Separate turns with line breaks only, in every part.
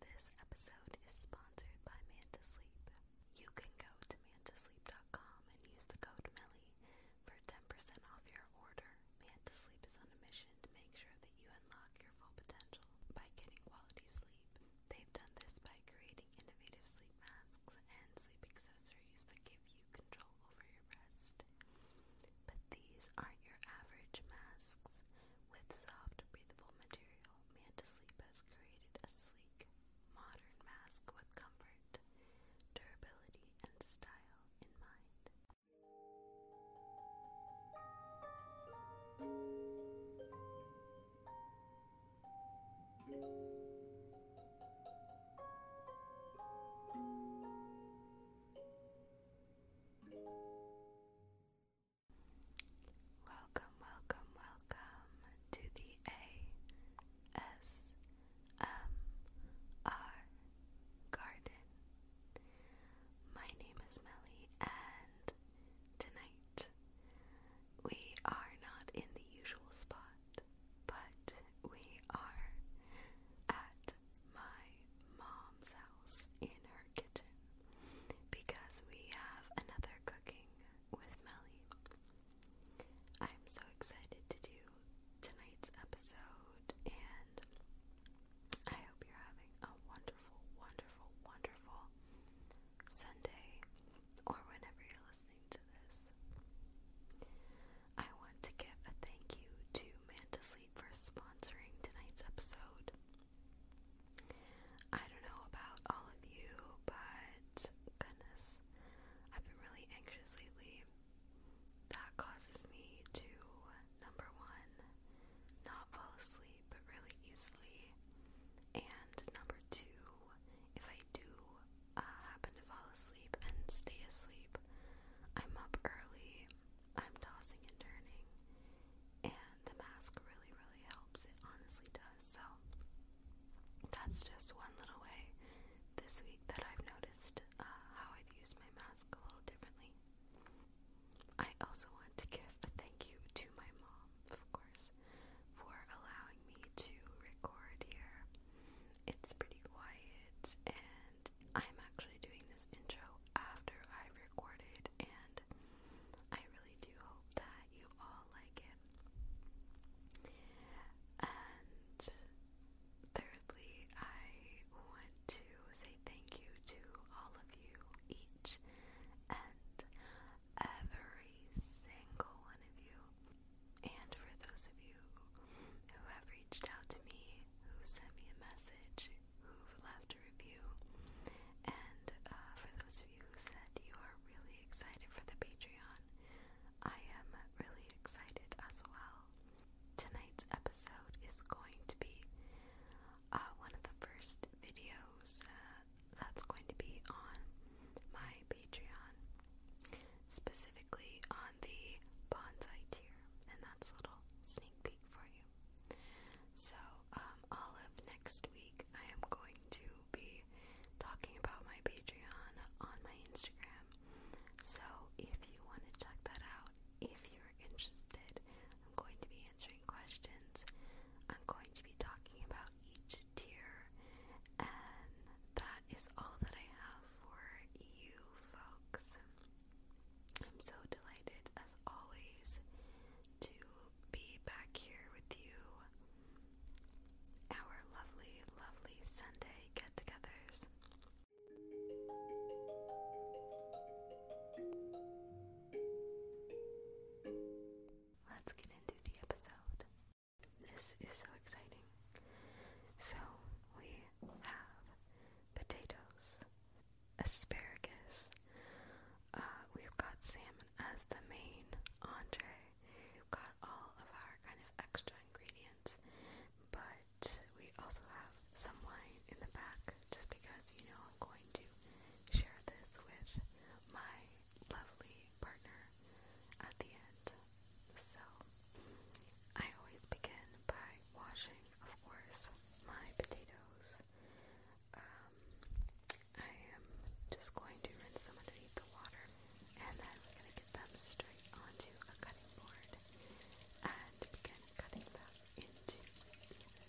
This episode is sponsored by Manta You can go to mantasleep.com and use the code Melly for 10% off your order. Manta is on a mission to make sure that you unlock your full potential by getting quality sleep. They've done this by creating innovative sleep masks and sleep accessories that give you control over your rest. But these aren't your average masks. With soft, breathable material, Mantasleep has created a sleek, modern mask with comfort, durability, and style in mind. Welcome, welcome, welcome to the ASMR Garden. My name is Melly, and tonight we are not in the usual spot, but we are at my mom's house in her kitchen because we have another cooking with Melly. I'm so excited to do tonight's episode and I hope you're having a wonderful, wonderful, wonderful Sunday or whenever you're listening to this. I want to give a thank you to Man for sponsoring tonight's episode. I don't know about all of you, but goodness, I've been really anxious lately. That causes me to, number one, not fall asleep really easily, and number two, if I do uh, happen to fall asleep and stay asleep, I'm up early I'm tossing and turning, and the mask really, really helps. It honestly does. So, that's just one little way this week that I've noticed uh, how I've used my mask a little differently. I also want to give a thank you to my mom, of course, for allowing me to record here. It's pretty quiet, and I'm actually doing this intro after I have recorded and I really do hope that you all like it. And thirdly, I want to say thank you to all of you, each and every single one of you. And for those of you who have reached out to me, who sent me a message, who've left review. And uh, for those of you who said you are really excited for the Patreon, I am really excited as well. Tonight's episode is going to be uh, one of the first videos uh, that's going to be on my Patreon, specifically on the bonsai tier, and that's a little sneak peek for you. So, um, all up next week, I am going to be talking about my Patreon on my Instagram. So, if you want to check that out, if you're interested, I'm going to be answering questions. I'm going to be talking about each tier, and that is all that I have for you folks. I'm so delighted, as always, to be back here with you. Our lovely, lovely Sunday get togethers. Let's get into the episode. This is so exciting. So, we have potatoes, asparagus. Uh, we've got salmon as the main entree. We've got all of our kind of extra ingredients, but we also have some wine in the back just because, you know, I'm going to share this with my lovely partner at the end. So, I always begin by washing, of course, my potatoes um, I am just going to rinse them underneath the water and then we're going to get them straight onto a cutting board and begin cutting them into pieces. Okay,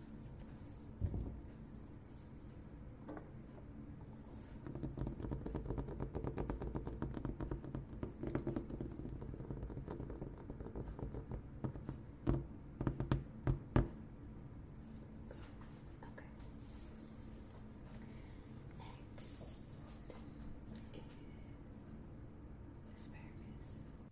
Okay. Next is asparagus.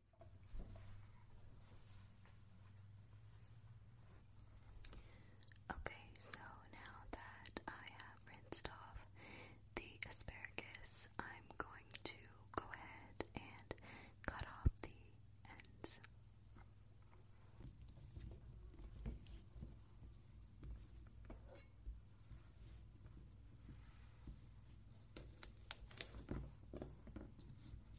Okay, so now that I have rinsed off the asparagus, I'm going to go ahead and cut off the ends.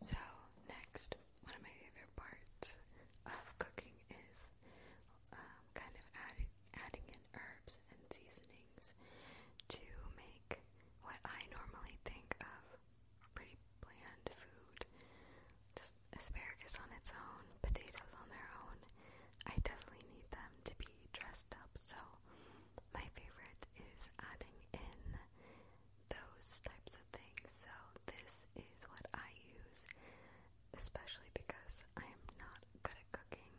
So, next, one of my favorite parts of cooking is um, kind of adding, adding in herbs and seasonings to make what I normally think of pretty bland food. asparagus on its own, potatoes on their own. I definitely need them to be dressed up, so my favorite is adding in those types of things. So, this is what I use, especially because I am not good at cooking.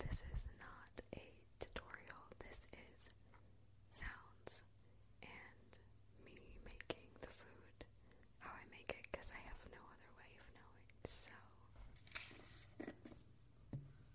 This is not a tutorial, this is sounds and me making the food how I make it because I have no other way of knowing. So.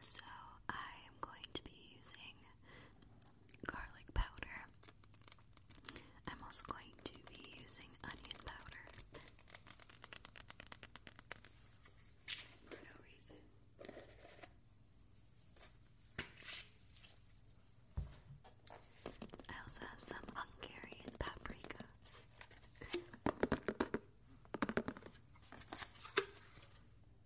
So I am going to be using garlic powder. I'm also going to be using onion powder. For no reason. I also have some Hungarian paprika.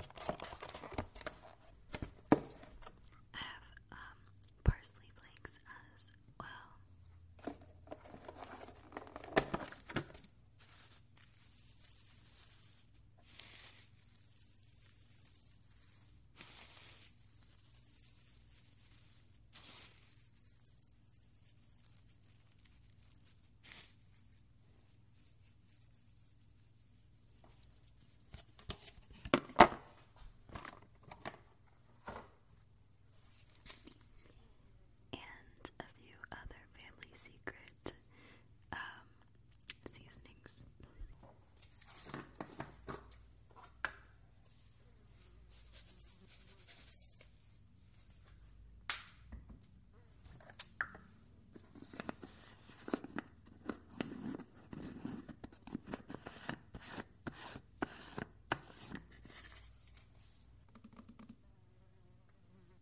I have um, parsley flakes as well. And a few other family secret um, seasonings.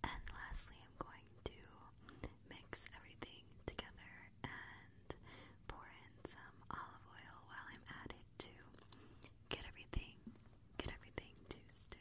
And lastly, I'm going to mix everything together and pour in some olive oil while I'm at it to get everything get everything to stick.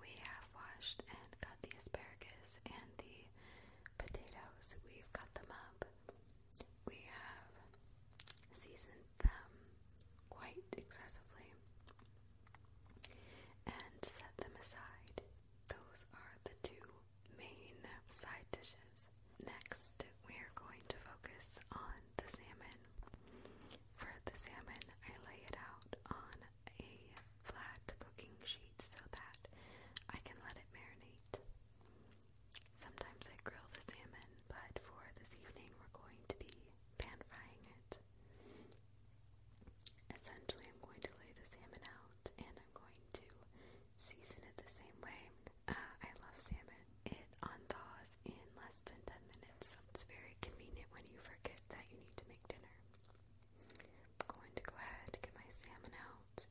We have washed and cut the asparagus and the potatoes. We've cut them up. We have seasoned them quite excessively and set them aside. Those are the two main side dishes. Next, we are going to focus on the salmon. For the salmon, I lay it out on a flat cooking sheet so that I can let it marinate. Sometimes I grill the salmon, but for this evening, we're going to be pan frying it. Essentially, I'm going to lay the salmon out and I'm going to season it the same way. Uh, I love salmon. It unthaws in less than 10 minutes, it's very convenient when you forget that you need to make dinner. I'm going to go ahead and get my salmon out.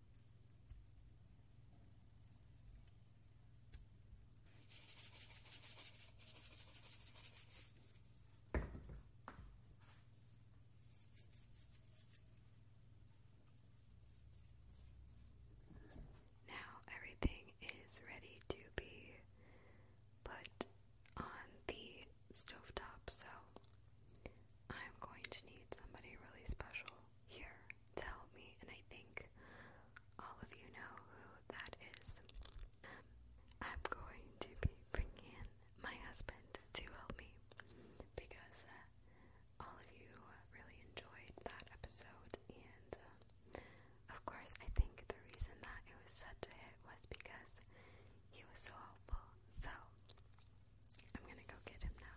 Now everything is ready to be put on the stove top, so I'm going to need somebody really special here to help me, and I think all of you know who that is. I'm going to be bringing in my husband to help me because uh, all of you really enjoyed that episode, and uh, of course, I think the reason that it was such a hit was because he was so helpful. So, I'm gonna go get him now.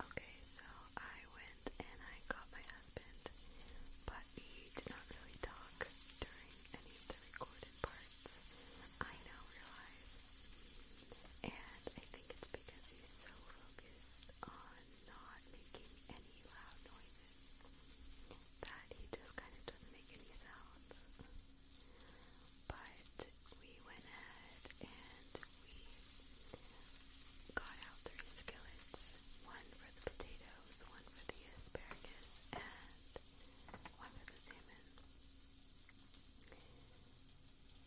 Okay, so I went and I got my husband, but he did not really talk during any of the recorded parts. I now realize. And I think it's because he's so focused on not making any loud noises that he just kind of doesn't make any sounds. But we went ahead and we got out three skillets one for the potatoes, one for the asparagus, and one for the salmon.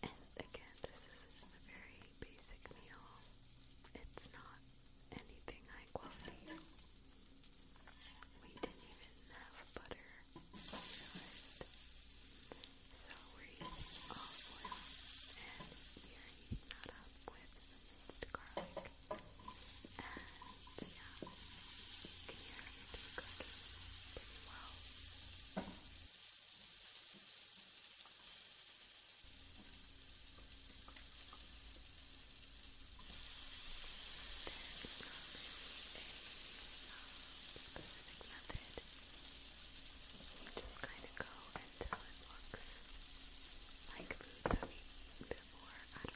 And again, this is just a very basic meal, it's not anything high quality. We didn't even have butter realized. So we're using olive oil and we are heating up with minced garlic. And yeah, you can hear cooking pretty well specific method. You just kind of go until it looks like food that we eat before at a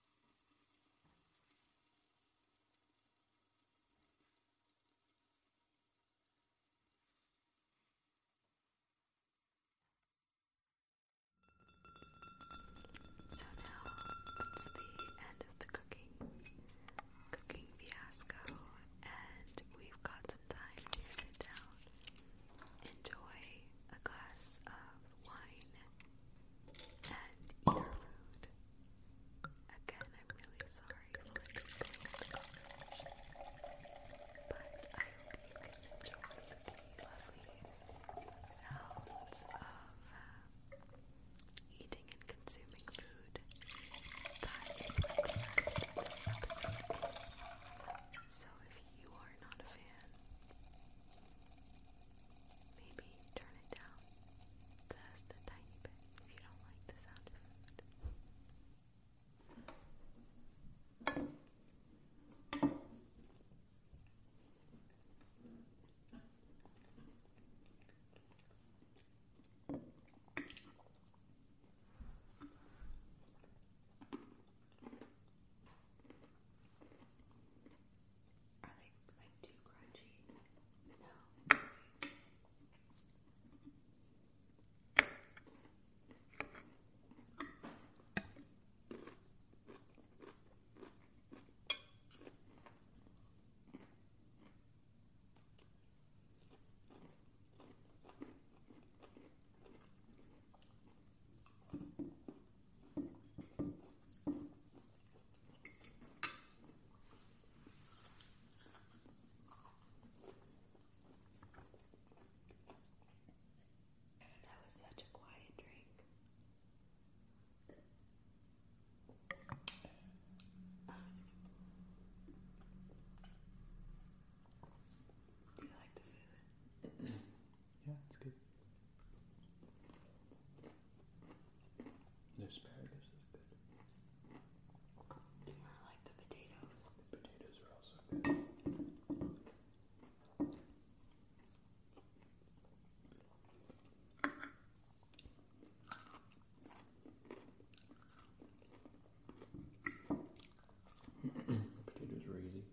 So now it's the end of the cooking cooking fiasco and we've got some time to sit down, enjoy a glass of wine and earlude. Again, I'm really sorry but I hope you can enjoy the lovely sounds of uh, eating and consuming food. That is what the rest So if you are not a fan, Maybe turn it down just a tiny bit if you don't like the sound are they like too crunchy? No. I that was such a quiet drink. Do you like the food? Yeah, it's good. asparagus is good. Do like the potatoes? The potatoes are also good. the potatoes were easy.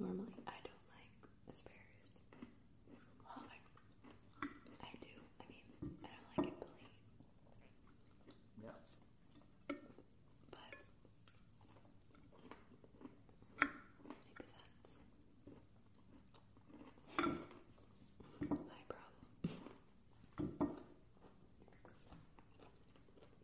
Normally, I don't like asparagus. I do. I mean, I don't like it plain. Yeah. But maybe that's my problem.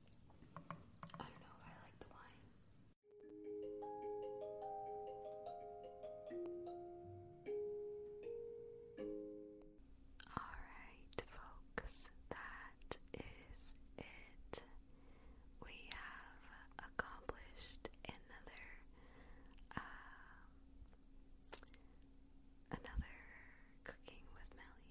Alright, folks, that is it. We have accomplished another, um, another cooking with Melly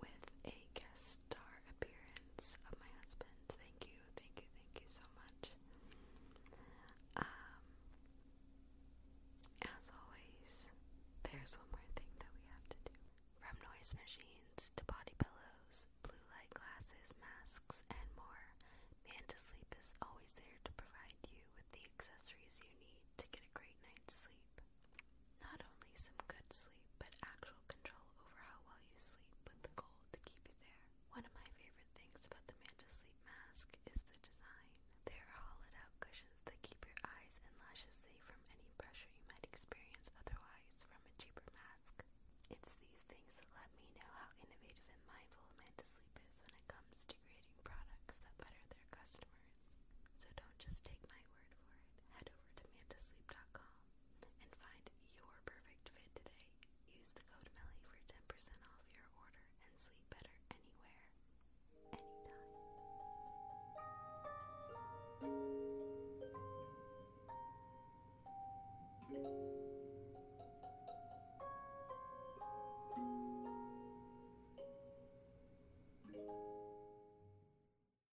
with a guest star appearance of my husband. Thank you, thank you, thank you so much. Um, as always, there's one more thing that we have to do. From noise machines to body pillows, blue light glasses, masks, and more, Man Sleep is always there to provide you with the accessories you need to get a great night's sleep. Not only some good sleep, but actual control over how well you sleep with the goal to keep you there. One of my favorite things about the Manta Sleep Mask is the design. There are hollowed out cushions that keep your eyes and lashes safe from any pressure you might experience otherwise from a cheaper mask. It's these things that let me know how innovative and mindful Manta Sleep is when it comes to creating products that better their customers. So don't just take my word for it. Head over to mantasleep.com and find your perfect fit today. Use the code MELLY for 10% off your order and sleep better anywhere, anytime.